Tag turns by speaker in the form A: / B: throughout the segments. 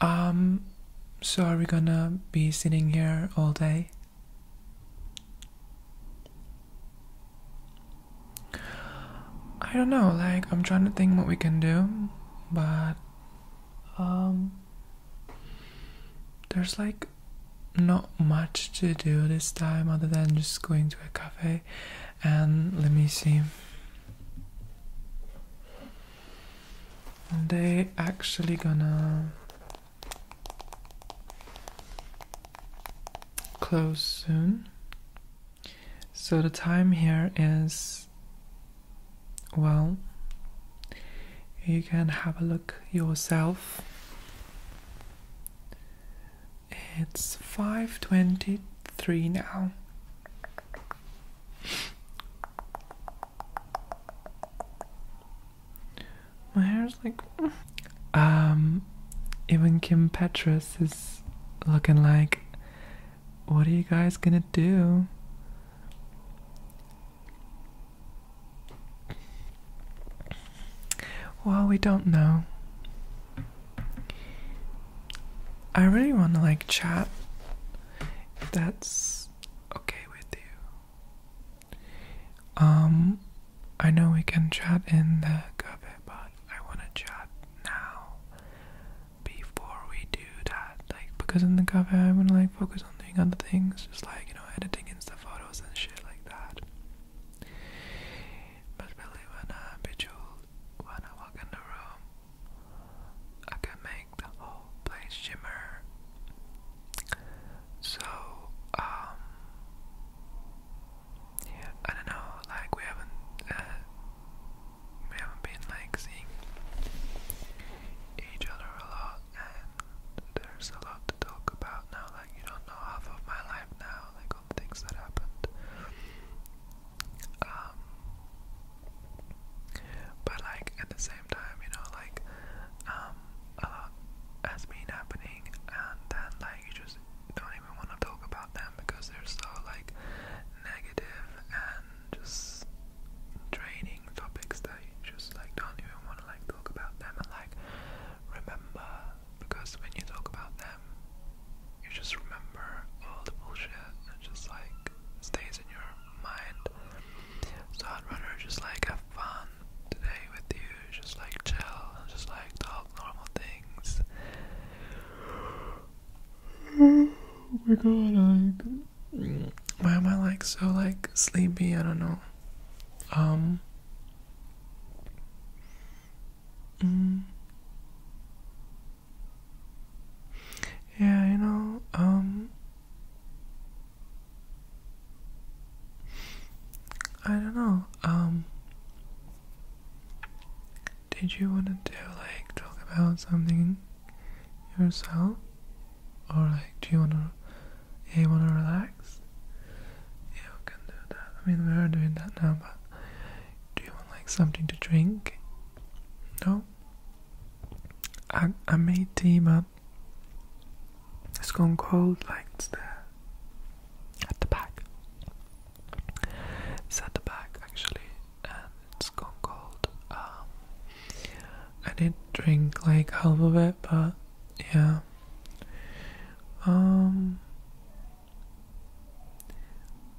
A: Um, so are we gonna be sitting here all day? I don't know, like, I'm trying to think what we can do, but, um, there's like not much to do this time other than just going to a cafe. And let me see. And they actually gonna close soon. So the time here is well you can have a look yourself. It's 5:23 now. My hair's like, um, even Kim Petras is looking like, what are you guys gonna do? Well, we don't know. I really want to like chat if that's okay with you. Um, I know we can chat in the cafe, but I want to chat now before we do that. Like, because in the cafe, I want to like focus on doing other things, just like you know, editing Insta photos and shit like that when I walk in the room, I can make the whole place shimmer. So, um, yeah, I don't know, like, we haven't, uh, we haven't been, like, seeing each other a lot, and there's a lot to talk about now, like, you don't know half of my life now, like, all things that happened, um, but like at the same time, you know, like um, a lot has been happening, and then like you just don't even want to talk about them because they're so like negative and just draining topics that you just like don't even want to like talk about them and like remember because when you talk about them, you just remember all the bullshit and just like stays in your mind. So I'd rather just like have fun today with you, just like chill just like talk normal things. oh my god, why am I like so like sleepy? I don't know. Um Mm. Yeah, you know, um, I don't know, um, did you want to do, like, talk about something yourself? Or, like, do you want to, you want to relax? Yeah, can do that. I mean, we are doing that now, but do you want like something to drink? No? I I made tea but it's gone cold like it's there. At the back. It's at the back actually and it's gone cold. Um I did not drink like half of it but yeah. Um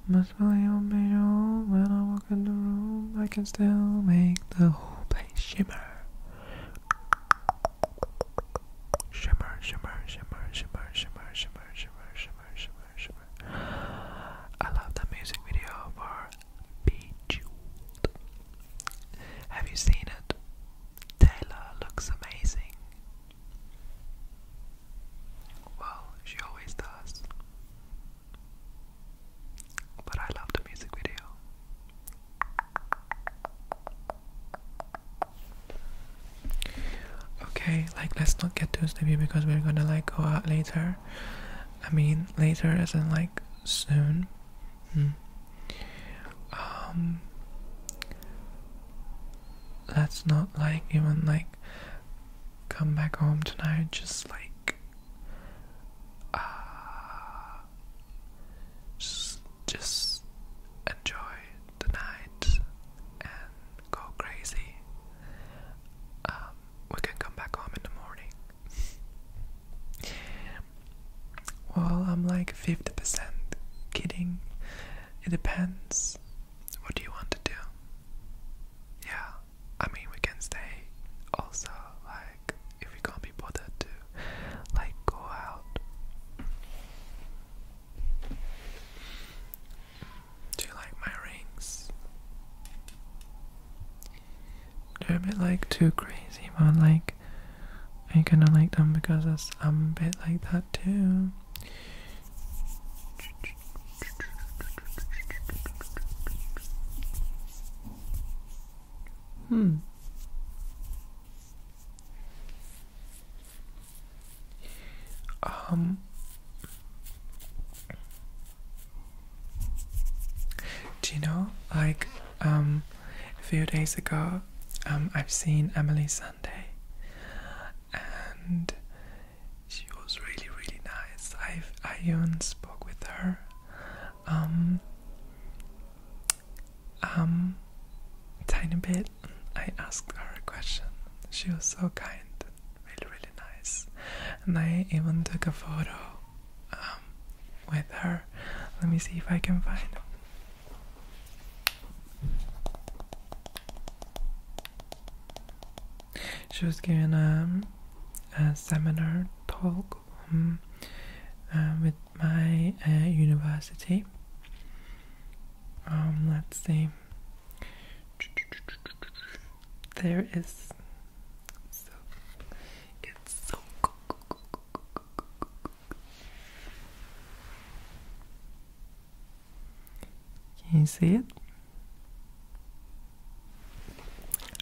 A: must really obey all when I walk in the room. I can still make the whole place shimmer. Shimmer, shimmer, shimmer, shimmer, shimmer, shimmer, shimmer, shimmer, shimmer, I love that music video for Bejeweled. Have you seen it? Taylor looks amazing. Well, she always does. But I love the music video. Okay, like let's not get too sleepy because we're gonna like go out later. I mean, later isn't like soon. Hmm. Um, that's not like even like come back home tonight just like uh, just, enjoy the night and go crazy um, we can come back home in the morning well i'm like 50% kidding it depends. What do you want to do? Yeah, I mean, we can stay also, like, if we can't be bothered to, like, go out. Do you like my rings? They're a bit like too crazy, but like I kind of like them because I'm a bit like that too. Hmm. Um. Do you know, like, um, a few days ago, um, I've seen Emily Sunday, and she was really, really nice. I even spoke with her. Um, um, tiny bit. I asked her a question. She was so kind, really, really nice, and I even took a photo um, with her. Let me see if I can find she was given um, a seminar talk um, uh, with my uh, university. Um, let's see. There is can you see it?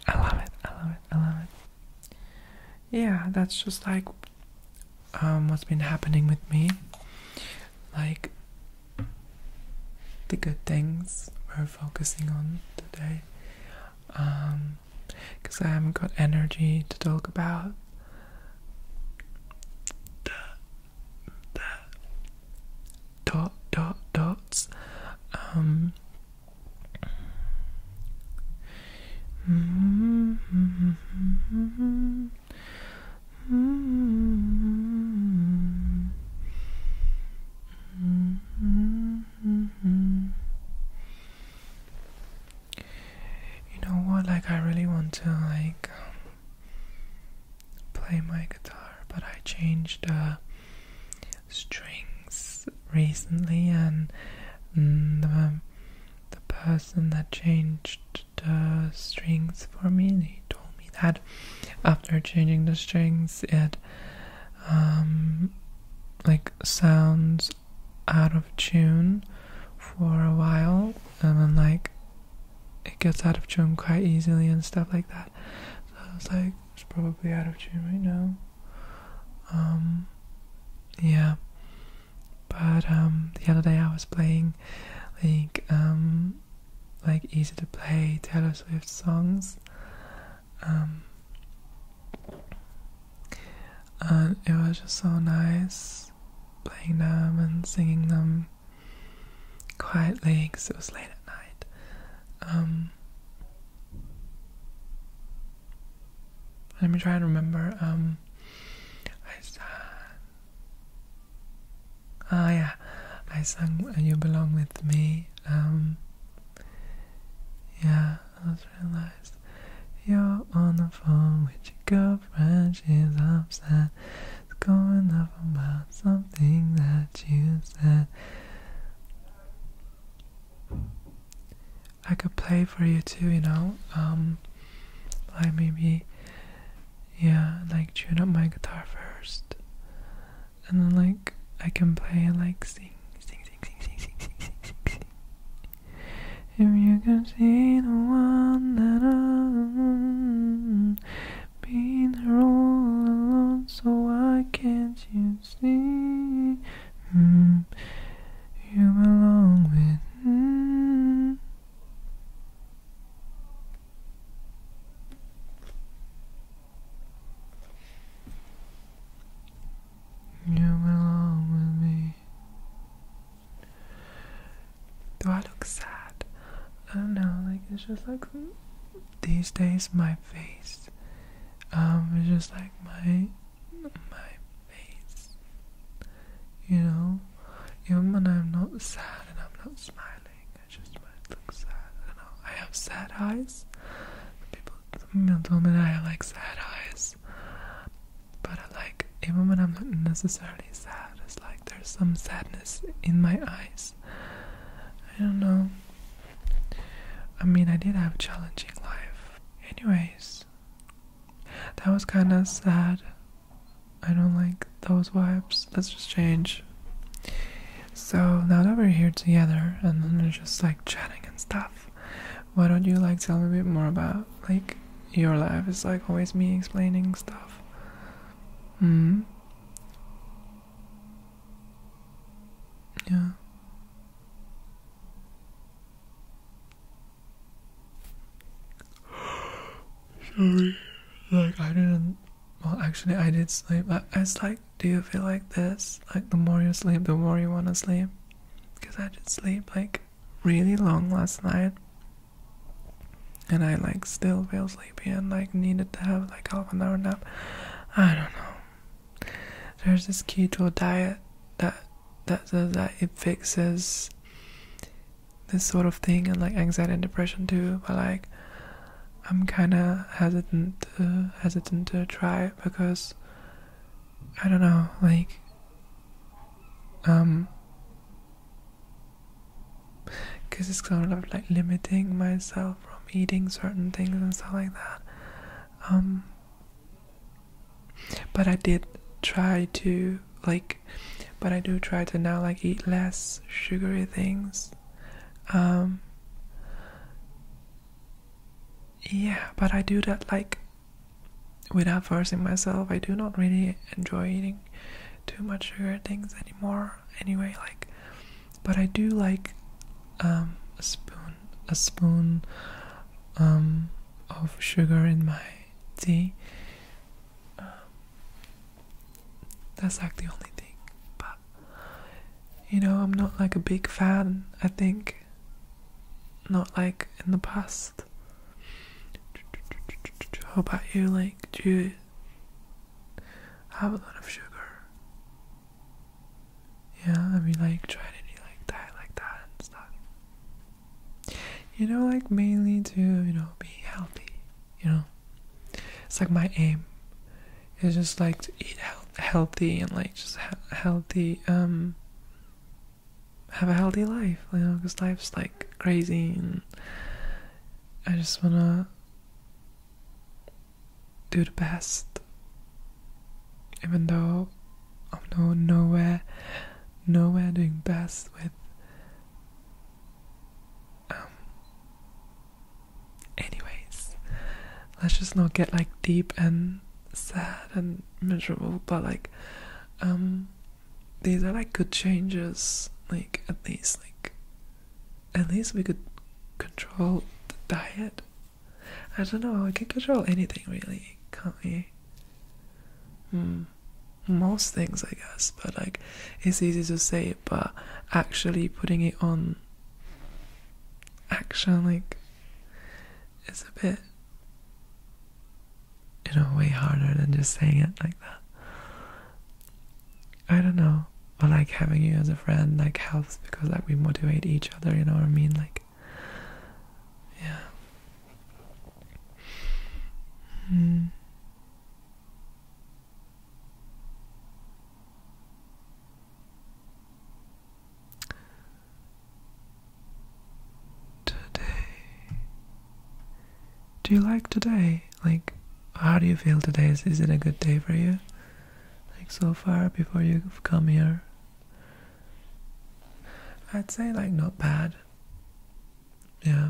A: I love it, I love it, I love it. Yeah, that's just like um, what's been happening with me. Like, the good things we're focusing on today. Um, because I haven't got energy to talk about the, dot dot dots. Um, you know what like I really want to like um, play my guitar but I changed the uh, strings recently and mm, the, the person that changed the strings for me he told me that after changing the strings it um like sounds out of tune for a while and then like it gets out of tune quite easily and stuff like that. So I was like, it's probably out of tune right now. Um, yeah. But um, the other day I was playing like um, like easy to play Taylor Swift songs. Um, and it was just so nice playing them and singing them quietly because it was late at night. Um, let me try and remember. Um, I sang. Ah, yeah, I sang "You Belong with Me." Um, yeah just realized you're on the phone with your girlfriend. She's upset. It's going up about something that you said. I could play for you too, you know. Um, like maybe, yeah, like tune up my guitar first, and then like I can play and like sing, sing, sing, sing, sing, sing, sing, sing, sing, if you can see the one that i have been here all alone, so why can't you see? Mm, you belong with me. You belong with me. Do I look sad? I don't know, like it's just like these days my face um is just like my my face. You know? Even when I'm not sad and I'm not smiling, I just might look sad. I don't know. I have sad eyes. Don't tell me that I like sad eyes. But I uh, like, even when I'm not necessarily sad, it's like there's some sadness in my eyes. I don't know. I mean, I did have a challenging life. Anyways, that was kind of sad. I don't like those wipes. Let's just change. So now that we're here together and then we're just like chatting and stuff, why don't you like tell me a bit more about like your life? It's like always me explaining stuff. Hmm. Yeah. Sorry. Like I didn't. Well, actually, I did sleep. It's like do you feel like this? Like the more you sleep, the more you wanna sleep? Because I did sleep like really long last night and I like still feel sleepy and like needed to have like half an hour nap. I don't know. There's this keto diet that that says that it fixes this sort of thing and like anxiety and depression too, but like I'm kind of hesitant uh, hesitant to try because I don't know, like um because it's kind of like limiting myself from eating certain things and stuff like that. Um but I did try to like but I do try to now like eat less sugary things. Um yeah, but I do that like without forcing myself. I do not really enjoy eating too much sugar things anymore. Anyway, like, but I do like um, a spoon, a spoon um, of sugar in my tea. Um, that's like the only thing. But you know, I'm not like a big fan, I think. Not like in the past. How about you? Like, do you have a lot of sugar? Yeah, I mean, like, try to eat like that, like that, and stuff. You know, like, mainly to, you know, be healthy, you know? It's like my aim it's just like eat healthy and like just healthy um have a healthy life you know because life's like crazy and i just want to do the best even though i'm no nowhere nowhere doing best with um, Anyways, let's just not get like deep and sad and miserable, but like, um, these are like good changes. Like, at least, like, at least we could control the diet. I don't know, I can control anything really, can't we? Hmm. Most things, I guess, but like, it's easy to say but actually putting it on action like is a bit you know way harder than just saying it like that i don't know but like having you as a friend like helps because like we motivate each other you know what i mean like yeah hmm. Today. Do you like today? Like, how do you feel today? Is, is it a good day for you? Like, so far before you've come here? I'd say, like, not bad. Yeah.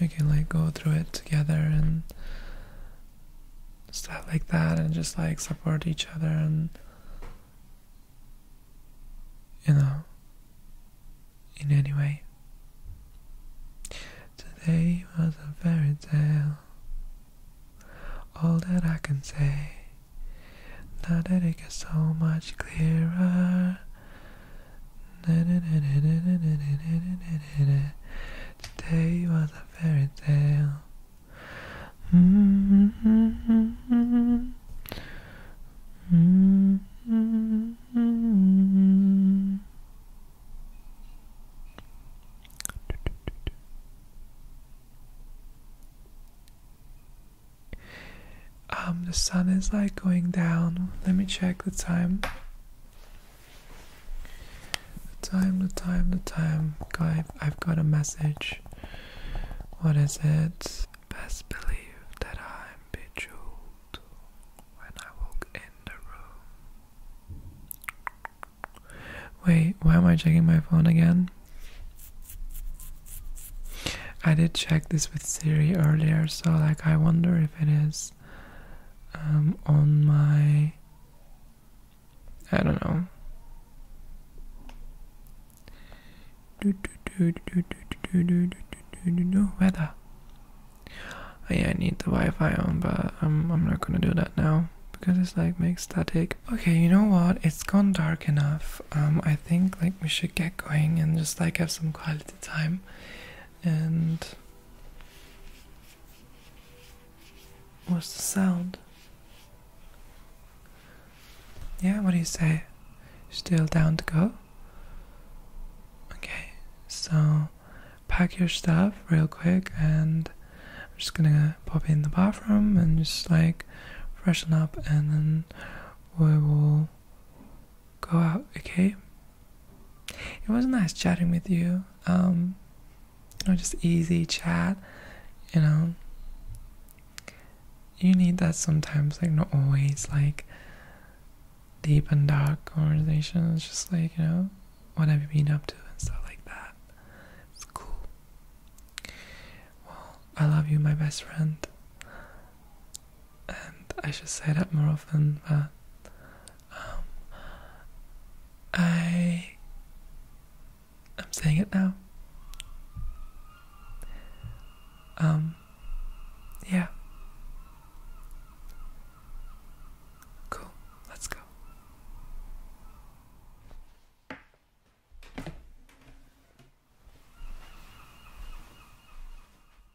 A: we can like go through it together and stuff like that and just like support each other and you know in any way today was a fairy tale all that i can say now that it gets so much clearer Today was a fairy tale. Um, the sun is like going down. Let me check the time. The time, the time, the time. God, I've got a message. What is it? Best believe that I'm bejeweled when I walk in the room. Wait, why am I checking my phone again? I did check this with Siri earlier, so like I wonder if if it is um, on my. I don't know. Do, do, do, do, do, do, do, do, do, do, weather. Oh, yeah, I need the Wi-Fi on, but I'm I'm not gonna do that now because it's like makes static. Okay, you know what? It's gone dark enough. Um, I think like we should get going and just like have some quality time and what's the sound? Yeah, what do you say? Still down to go? Okay, so pack your stuff real quick and I'm just gonna pop in the bathroom and just like freshen up and then we will go out, okay? It was nice chatting with you. Um, you know, just easy chat, you know. You need that sometimes, like, not always, like, deep and dark conversations, just like, you know, what have you been up to and stuff like that. It's cool. Well, I love you, my best friend and I should say that more often, but um, I I'm saying it now. Um, yeah. Cool, let's go.